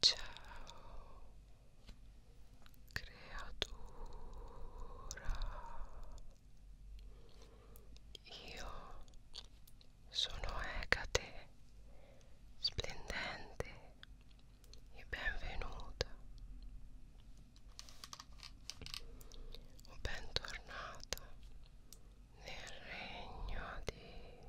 Ciao creatura Io sono Ecate splendente e benvenuta o bentornata nel regno di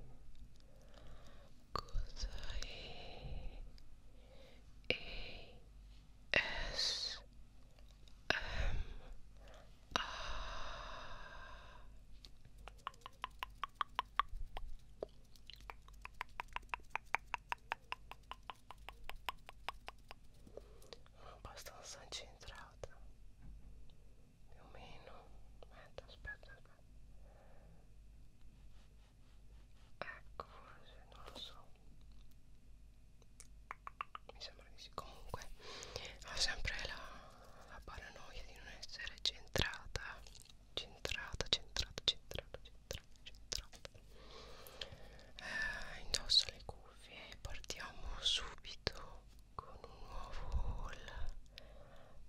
Uma bastante entrada. Meu menos meta as ecco forse non lo so mi sembra di sì comunque ho sempre la, la paranoia di non essere centrata centrata centrata centrata centrata centrata eh, indosso le cuffie e partiamo subito con un nuovo haul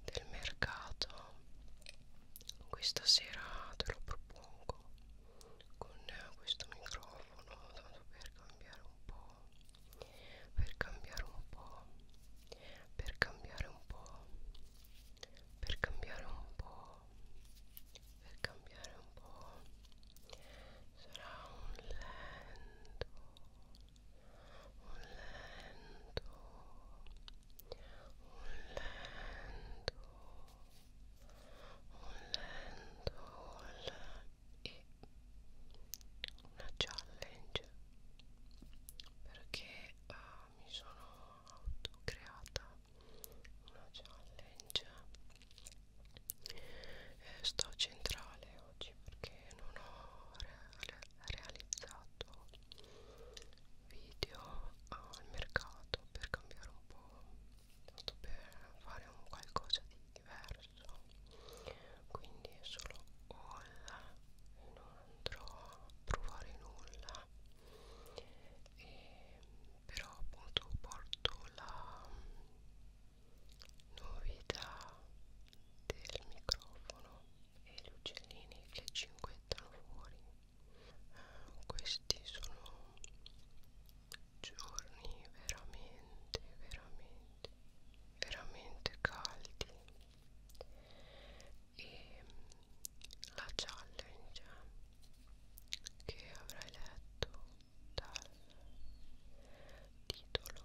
del mercato questa sera te lo propongo con questo microfono tanto per cambiare un po' per cambiare un po' per cambiare un po' per cambiare un po' per cambiare un po' sarà un lento un lento un lento un lento e una challenge perché uh, mi sono autocreata una challenge eh, sto centrale oggi perché non ho re realizzato video al mercato per cambiare un po' tanto per fare un qualcosa di diverso quindi è solo haul non andrò a provare nulla e però appunto porto la novità del microfono e gli uccellini che 5 mettono fuori eh, questi sono giorni veramente veramente veramente caldi e mm, la challenge che avrai letto dal titolo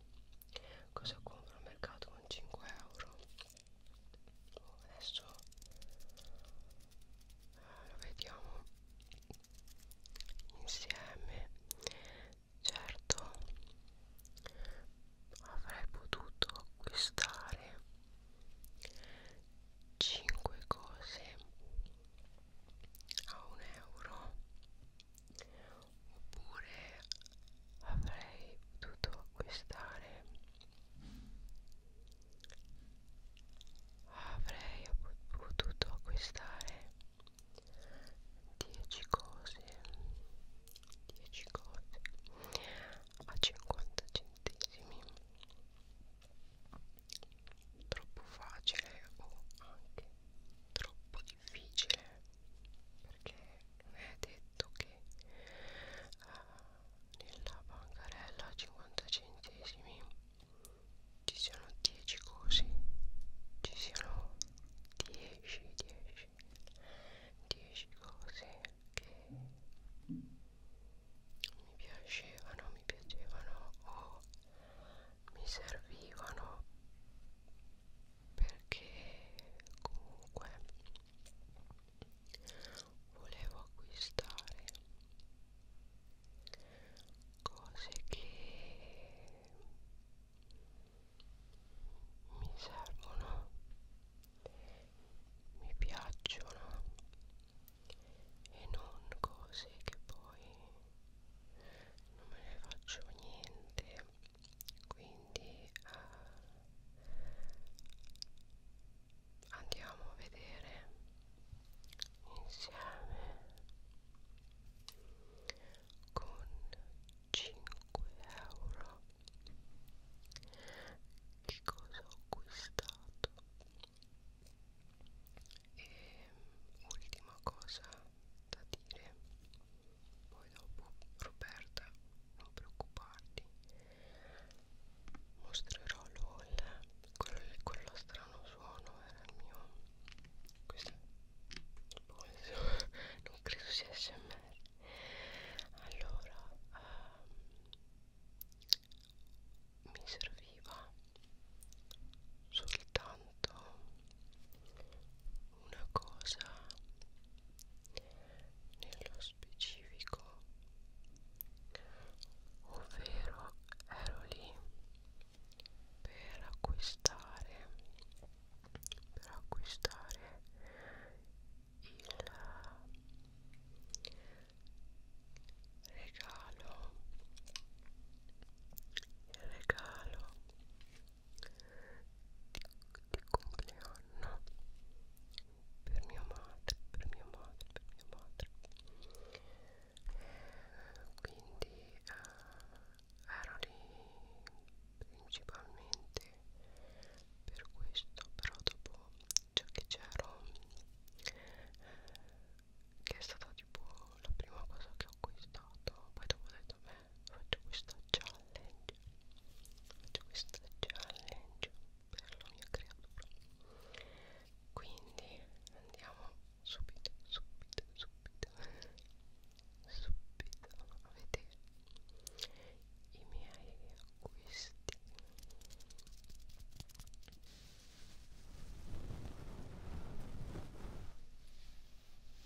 cosa compro al mercato con 5 euro boh, adesso eh, lo vediamo insieme certo avrei potuto acquistare 5 cose a 1 euro oppure avrei potuto acquistare avrei potuto acquistare 10 cose 10 cose a 50 centesimi troppo facile o anche troppo difficile perché non è detto che uh, nella bancarella a 50 centesimi ci siano 10 cosi ci siano 10 10 10 cose che mi piacevano mi piacevano o mi servivano perché comunque volevo acquistare cose che mi servono mi piacciono e non cose che poi non me ne faccio niente quindi eh, andiamo a vedere insieme con 5 euro che cosa ho acquistato e ultima cosa da dire poi dopo Roberta non preoccuparti mostrerò l'haul quello, quello strano suono era il mio questo polso boh, non credo sia smr allora um, mi serviva soltanto una cosa nello specifico ovvero ero lì per acquistare per acquistare il regalo il regalo di, di compleanno per mia madre, per mia madre, per mia madre. Quindi eh, ero lì principalmente per questo, però dopo ciò che c'ero, eh, che è stata tipo la prima cosa che ho acquistato, poi dopo ho detto, beh faccio questa challenge faccio questa challenge per la mia creatura quindi andiamo subito subito subito subito a vedere i miei acquisti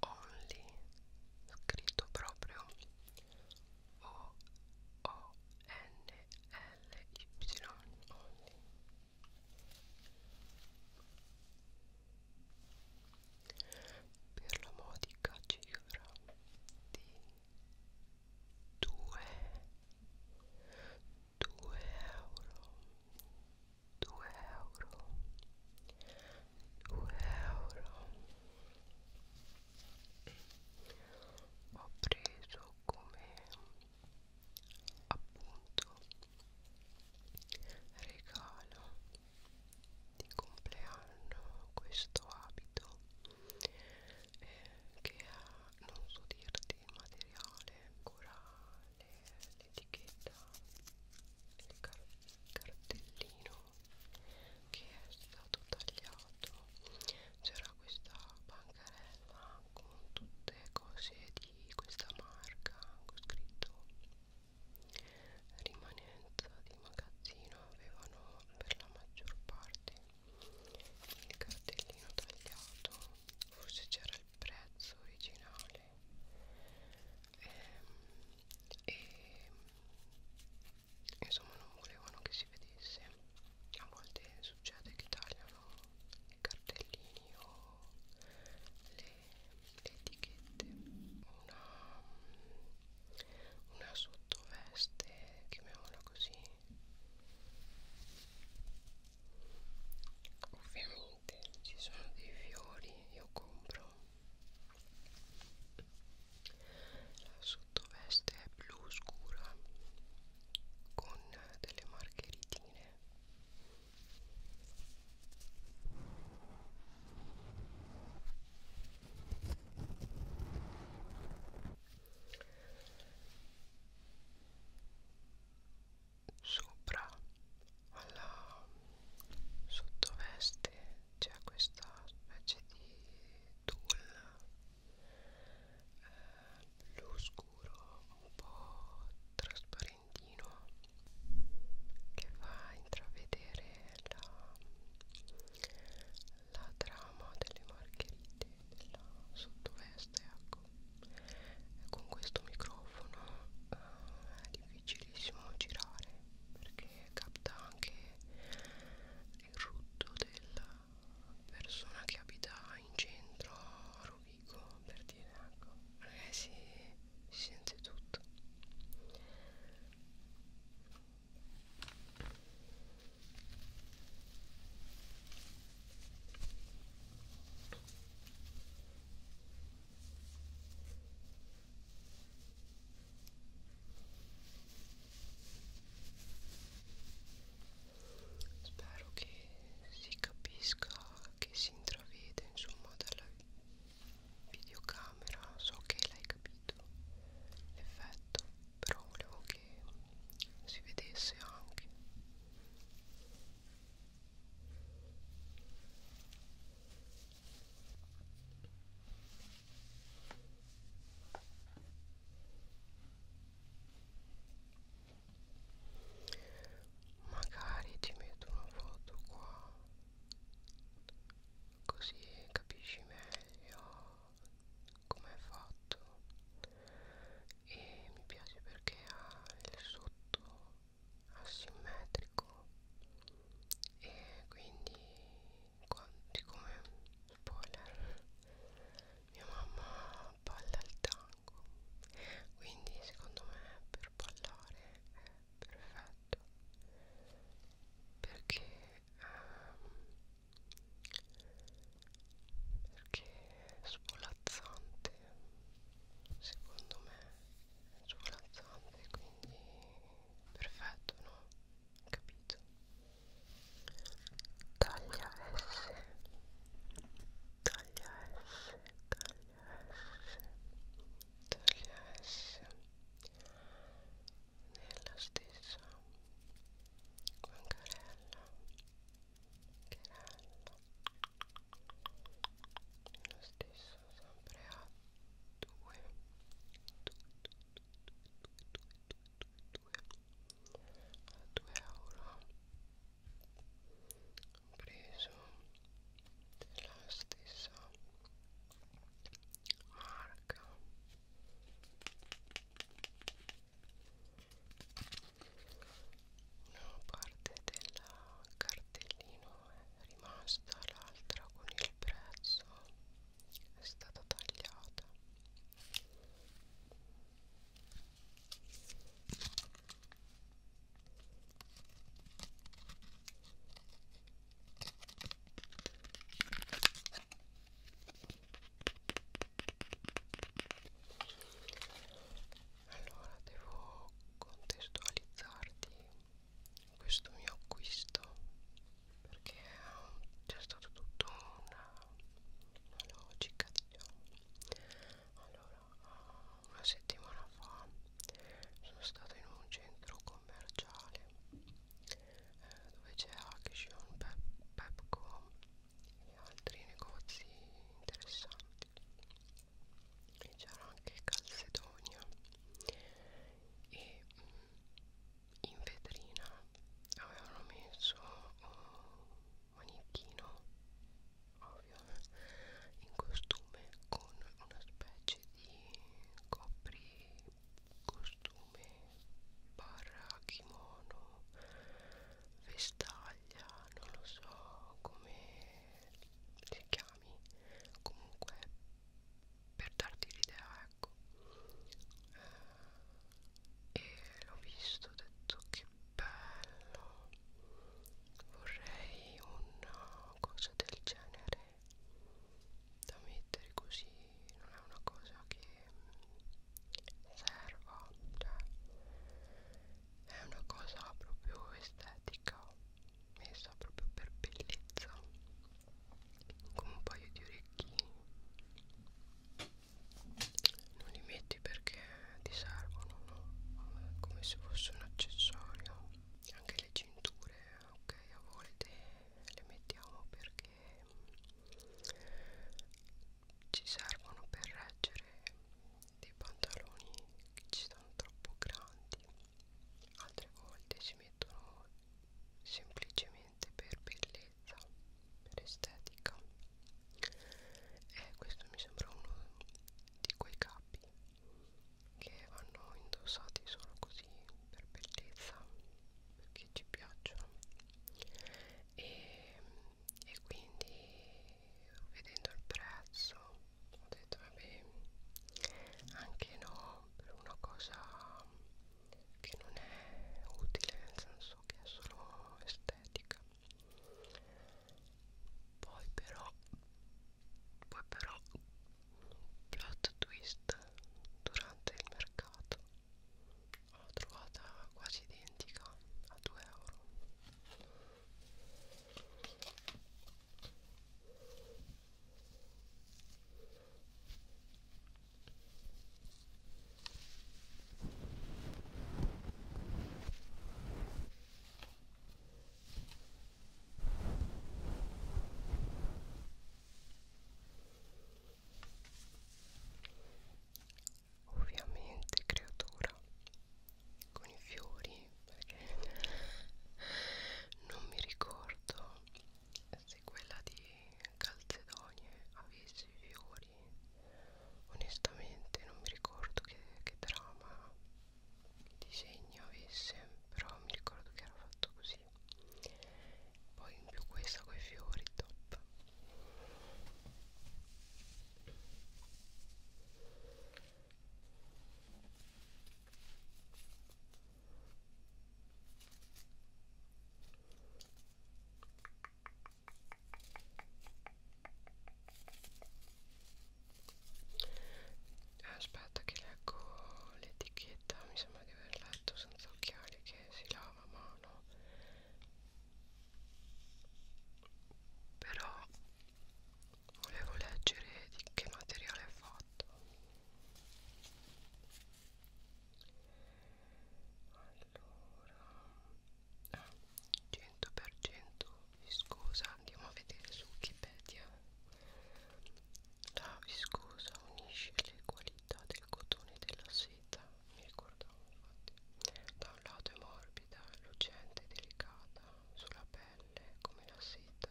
only scritto proprio o o n l y only per la modica cifra di 2 2 euro 2 euro 2 euro ho preso come appunto regalo di compleanno questo abito eh, che ha non so dirti il materiale corale l'etichetta il car cartellino che è stato tagliato c'era questa bancarella con tutte cose di questa marca con scritto rimanenza di magazzino avevano per la maggior parte il cartellino tagliato forse c'era il prezzo originale ehm, e insomma non volevano che si vedesse a volte succede che tagliano i cartellini o le, le etichette una, una sottoveste chiamiamola così ovvero veramente ci sono dei fiori io compro la sottoveste è blu scura con delle margheritine sopra alla sottoveste c'è questa specie di tulle eh, blu scuro un po' trasparentino che fa intravedere la, la trama delle margherite della sottoveste ecco Ecco, con questo microfono eh, è difficilissimo girare perché capta anche il rutto della persona che abita in centro a Rovigo per dire ecco ragazzi eh, si sente tutto spero che si capisca che si intravede insomma dalla videocamera so che l'hai capito l'effetto però volevo che si vedesse anche Magari ti metto una foto qua così capisci meglio come è fatto e mi piace perché ha il sotto asimmetrico e quindi siccome spoiler mia mamma balla il tango quindi secondo me per ballare è perfetto perché ehm, perché è svolazzante secondo me è svolazzante quindi perfetto no? capito taglia S taglia S taglia S taglia S nella stessa bancarella lo stesso sempre a 2 a 2 euro preso preso della stessa marca una parte del cartellino è rimasta l'altra con il prezzo è stata tagliata allora devo contestualizzarti questo mio acquisto perché c'è stato tutto una, una logica diciamo allora una settimana fa sono stato in un centro commerciale eh, dove c'è Action, Pep, Pepco e altri negozi interessanti e c'era anche Calcedonia e mm, in vetrina avevano messo un manichino ovvio in costume con una specie di copri costume barra kimono vestaglia non lo so come si chiami comunque per darti l'idea ecco eh, e l'ho visto ho detto che bello vorrei una cosa del genere da mettere così non è una cosa che serva cioè è una cosa proprio estetica messa proprio per bellezza con un paio di orecchini non li metti perché ti servono no? come se fosse un accessorio anche le cinture ok a volte le mettiamo perché ci servono per reggere dei pantaloni che ci stanno troppo grandi altre volte si mettono semplicemente per bellezza per estetica e questo mi sembra uno di quei capi che vanno indossati solo così per bellezza perché ci piacciono e, e quindi vedendo il prezzo ho detto vabbè anche no per una cosa che non è utile nel senso che è solo estetica poi però poi però plot twist durante il mercato l'ho trovata quasi identica a 2 euro Ovviamente creatura con i fiori perché non mi ricordo se quella di Calzedonie avesse i fiori onestamente non mi ricordo che, che trama che disegno avesse però mi ricordo che era fatto così poi in più questa con i fiori top Aspetta che leggo l'etichetta, mi sembra di aver letto senza occhiali che si lava a mano. Però volevo leggere di che materiale è fatto allora ah, 100% viscosa andiamo a vedere su wikipedia la viscosa unisce le qualità del cotone e della seta mi ricordavo infatti da un lato è morbida lucente e delicata sulla pelle pelle come la seta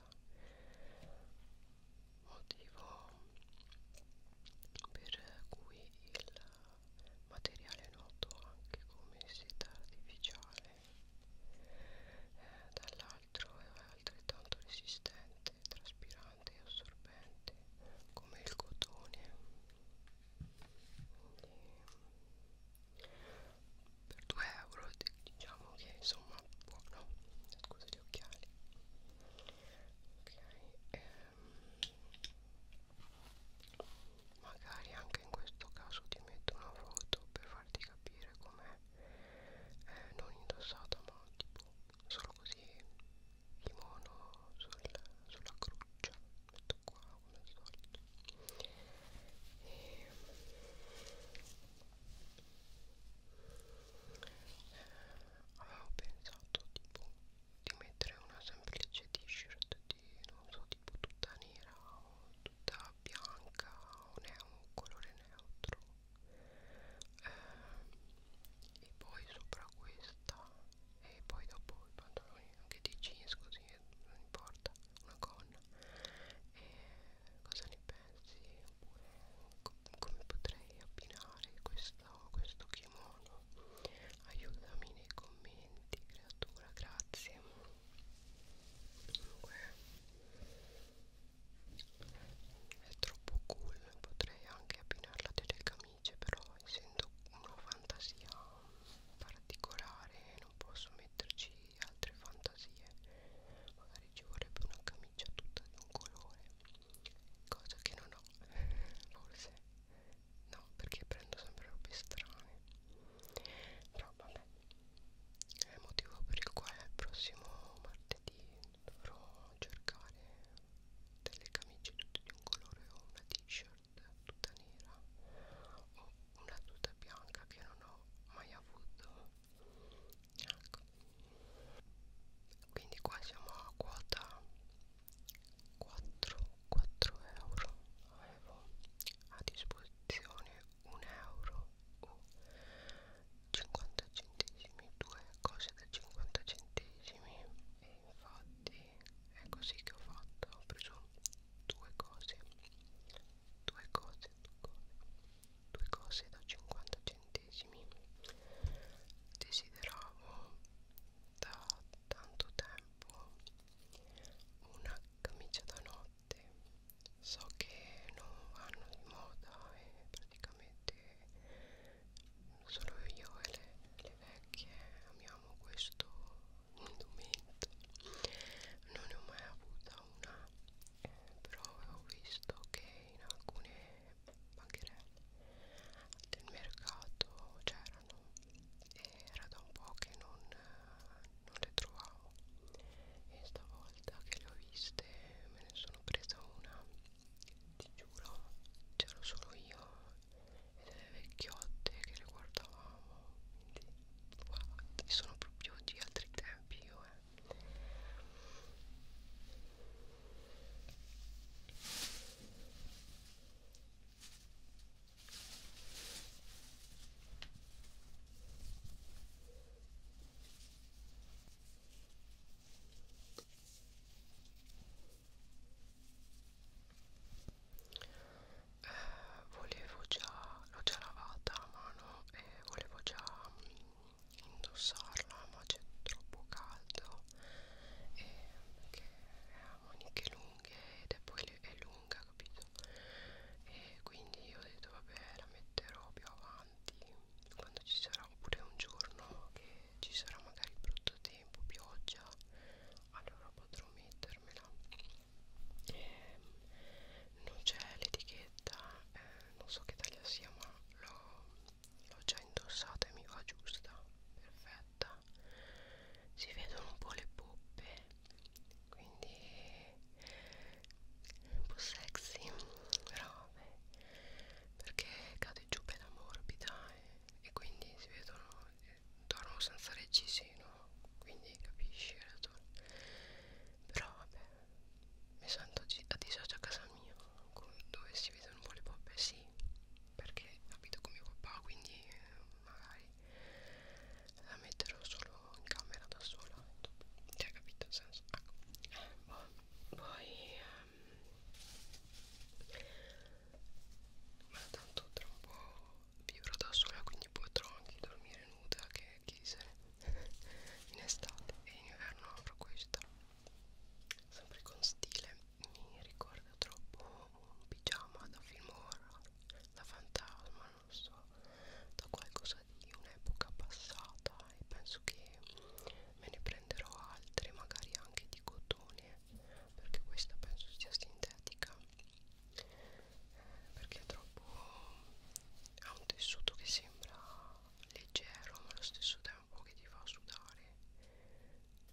motivo per cui il materiale è noto anche come seta artificiale eh, dall'altro è altrettanto resistente traspirante e assorbente come il cotone Quindi, per 2 euro diciamo che insomma buono scusa gli occhiali ok ehm, magari anche in questo caso ti metto una foto per farti capire com'è eh, non indossata ma tipo solo così kimono sul, sulla croce metto qua come al solito e... avevo pensato tipo di mettere una semplice t-shirt di non so tipo tutta nera o tutta bianca o un colore neutro eh, e poi sopra questa e poi dopo i pantaloni anche di jeans così non importa una gonna e cosa ne pensi oppure co come potrei abbinare questo, questo kimono aiutami nei commenti creatura grazie comunque è troppo cool potrei anche abbinarla a delle camicie però essendo una fantasia particolare non posso metterci altre fantasie magari ci vorrebbe una camicia tutta di un colore cosa che non ho forse no perché prendo sempre robe strane però vabbè è il motivo per il quale il prossimo martedì dovrò cercare delle camicie tutte di un colore o una t-shirt tutta nera o una tuta bianca che non ho mai avuto ecco quindi qua siamo a quota 4 4 euro avevo a disposizione 1 euro o 50 centesimi due cose da 50 centesimi e infatti è così che ho fatto ho preso due cose due cose, due cose da 50 centesimi desideravo da tanto tempo una camicia da notte so che non vanno di moda e praticamente solo io e le, le vecchie amiamo questo indumento non ne ho mai avuta una eh, però ho visto che in alcune banchine del mercato c'erano e era da un po' che non, non le trovavo e stavolta che le ho viste me ne sono presa una ti giuro c'ero solo io e delle vecchiotte che le guardavamo quindi wow, sono proprio di altri tempi io eh eh, volevo già l'ho già lavata la mano e volevo già mh, mm, indossarla ma c'è troppo caldo e perché ha maniche lunghe ed è poi è lunga capito e quindi ho detto vabbè la metterò più avanti quando ci sarà oppure un giorno che ci sarà magari brutto tempo pioggia allora potrò mettermela eh, non c'è l'etichetta eh, non so che taglia sia ma l'ho già indossata e mi va giusta perfetta si vedono un po' le poppe quindi un po' sexy robe perché cade giù bella morbida e, eh, e quindi si vedono torno eh, senza reggiseno seno quindi capisci Erator però vabbè mi sento a disagio a casa mia con, dove si vedono un po' le poppe sì perché abito con mio papà quindi eh, magari la metterò solo in camera da sola cioè capito il senso ecco eh, poi um, ma tanto tra un po' vivrò da sola quindi potrò anche dormire nuda che chi se ne in estate e in inverno avrò questa sempre con stile mi ricorda troppo un pigiama da film horror da fantasma non so da qualcosa di un'epoca passata e penso che me ne prenderò altri magari anche di cotone perché questa penso sia sintetica perché è troppo ha un tessuto che sembra leggero ma allo stesso tempo che ti fa sudare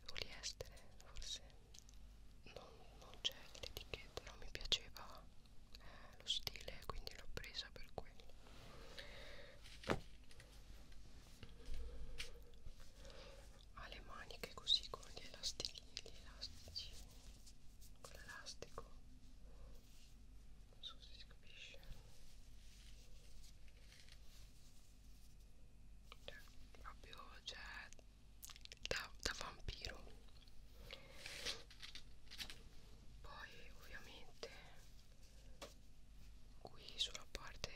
poliestere forse non, non c'è l'etichetta non mi piaceva eh, lo stile quindi l'ho presa per quello ha le maniche così con gli elastici, gli elastici con l'elastico non so se si capisce cioè proprio cioè da, da vampiro poi ovviamente qui sulla parte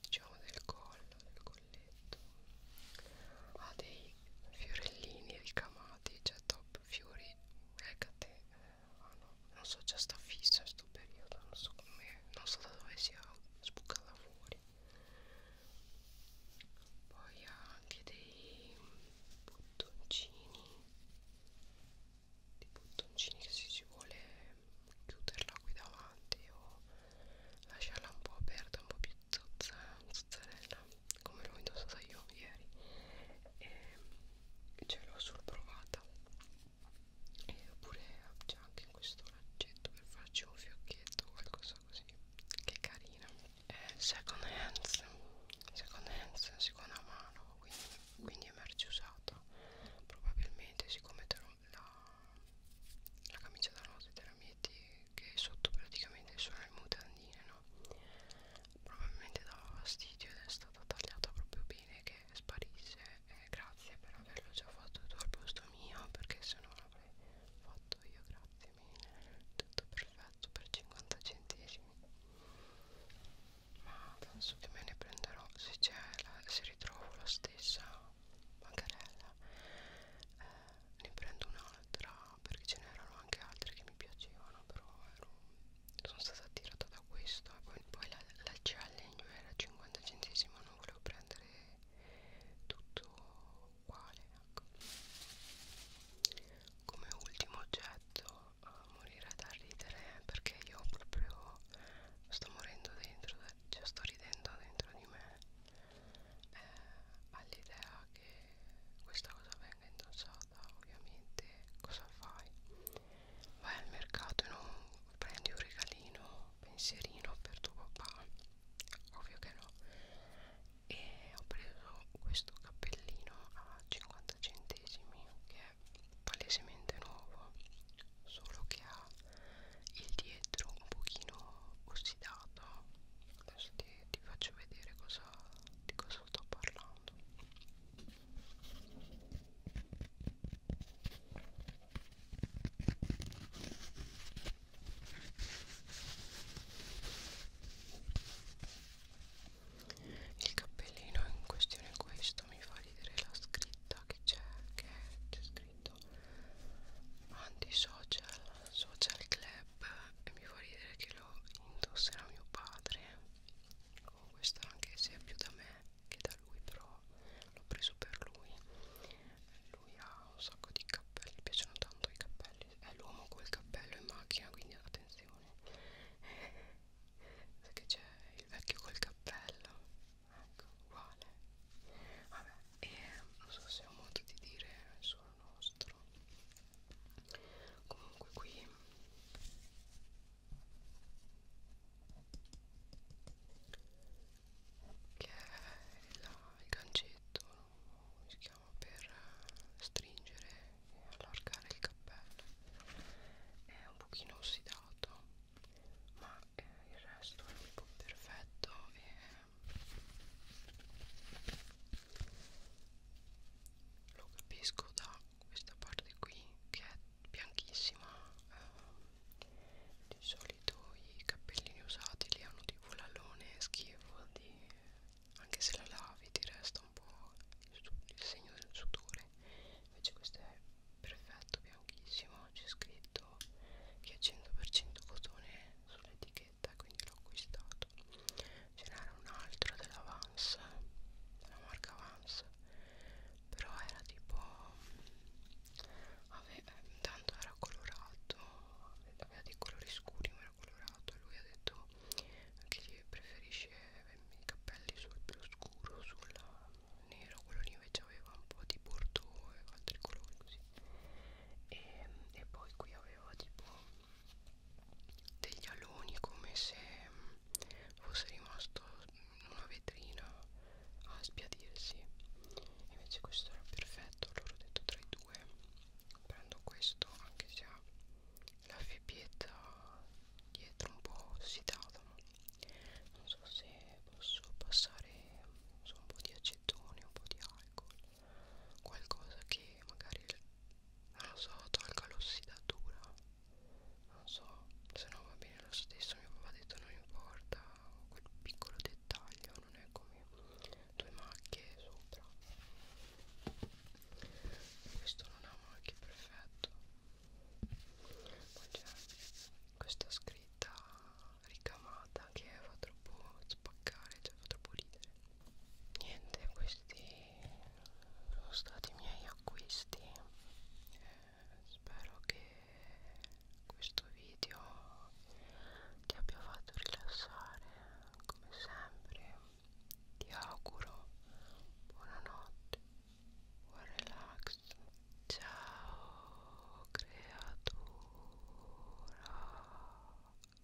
diciamo del collo del colletto ha dei fiorellini ricamati cioè top fiori Hecate eh, oh no, non so già sta fissa sto periodo non so come non so da dove sia sbucata fuori poi ha anche dei bottoncini dei bottoncini che se si vuole chiuderla qui davanti o lasciarla un po' aperta un po' più zozza, zozzarella come l'ho indossata io ieri e ce l'ho solo provata e oppure c'è anche questo laccetto per farci un fiocchetto o qualcosa così che è carina eh, second hands second hands seconda mano quindi, quindi è merce usata probabilmente siccome la, la camicia da notte della mia vedi che sotto praticamente sono le mutandine no probabilmente dava fastidio ed è stata tagliata proprio bene che sparisse eh, grazie per averlo già fatto tu al posto mio perché se no l'avrei fatto io grazie mille tutto perfetto per 50 centesimi ma penso che me ne prenderò se c'è se ritrovo la stessa bancarella eh, ne prendo un'altra perché ce n'erano anche altre che mi piacevano però ero, sono stata attirata da questo e poi, poi la, la challenge era 50 centesimi non volevo prendere tutto uguale ecco. come ultimo oggetto eh, morire da ridere perché io proprio sto morendo dentro cioè sto ridendo dentro di me eh, all'idea che questa cosa venga indossata ovviamente cosa fai? vai al mercato e non prendi un regalino pensierino per tuo papà ovvio che no e ho preso questo cappellino a 50 centesimi che è palesemente nuovo solo che ha il dietro un pochino ossidato adesso ti, ti faccio vedere cosa, di cosa sto parlando il cappellino in questione questo mi fa ridere la scritta che c'è che c'è scritto antisocial social club e mi fa ridere che che lo indosserà mio padre oh, questo anche se è più da me che da lui però l'ho preso per lui lui ha un sacco di cappelli mi piacciono tanto i cappelli è l'uomo col cappello in macchina quindi attenzione sai che c'è il vecchio col cappello ecco uguale vabbè e non so se ho modo di dire solo nostro comunque qui che è la, il gancetto si chiama per stringere e allargare il cappello è un pochino ossidato ma eh, il resto è tipo perfetto e lo capisco da questa parte qui che è bianchissima eh, di solito i cappellini usati li hanno tipo l'alone schifo di, anche se la lavi ti resta un po' il, il segno del sudore invece questo è perfetto bianchissimo c'è scritto che è 100% cotone sull'etichetta scaletta quindi l'ho acquistato ce n'era un altro della Vans della marca Vans però era tipo ave, tanto era colorato aveva dei colori scuri ma era colorato e lui ha detto che preferisce i capelli sul blu scuro sul nero quello lì invece aveva un po' di bordeaux e altri colori così e, e poi qui aveva tipo degli aloni come se fosse rimasto in una vetrina a sbiadirsi invece questo era perfetto allora ho detto tra i due prendo questo anche se ha la fibbietta dietro un po' ossidata non so se posso passare so, un po' di acetone un po' di alcol qualcosa che magari non lo so tolga l'ossidatura non so se no va bene lo stesso mio papà ha detto non importa quel piccolo dettaglio non è come due macchie sopra questo non ha macchie perfetto poi c'è questa scritta ricamata che fa troppo spaccare cioè fa troppo ridere niente questi sono stati i miei acquisti eh, spero che questo video ti abbia fatto rilassare come sempre ti auguro buonanotte buon relax ciao creatura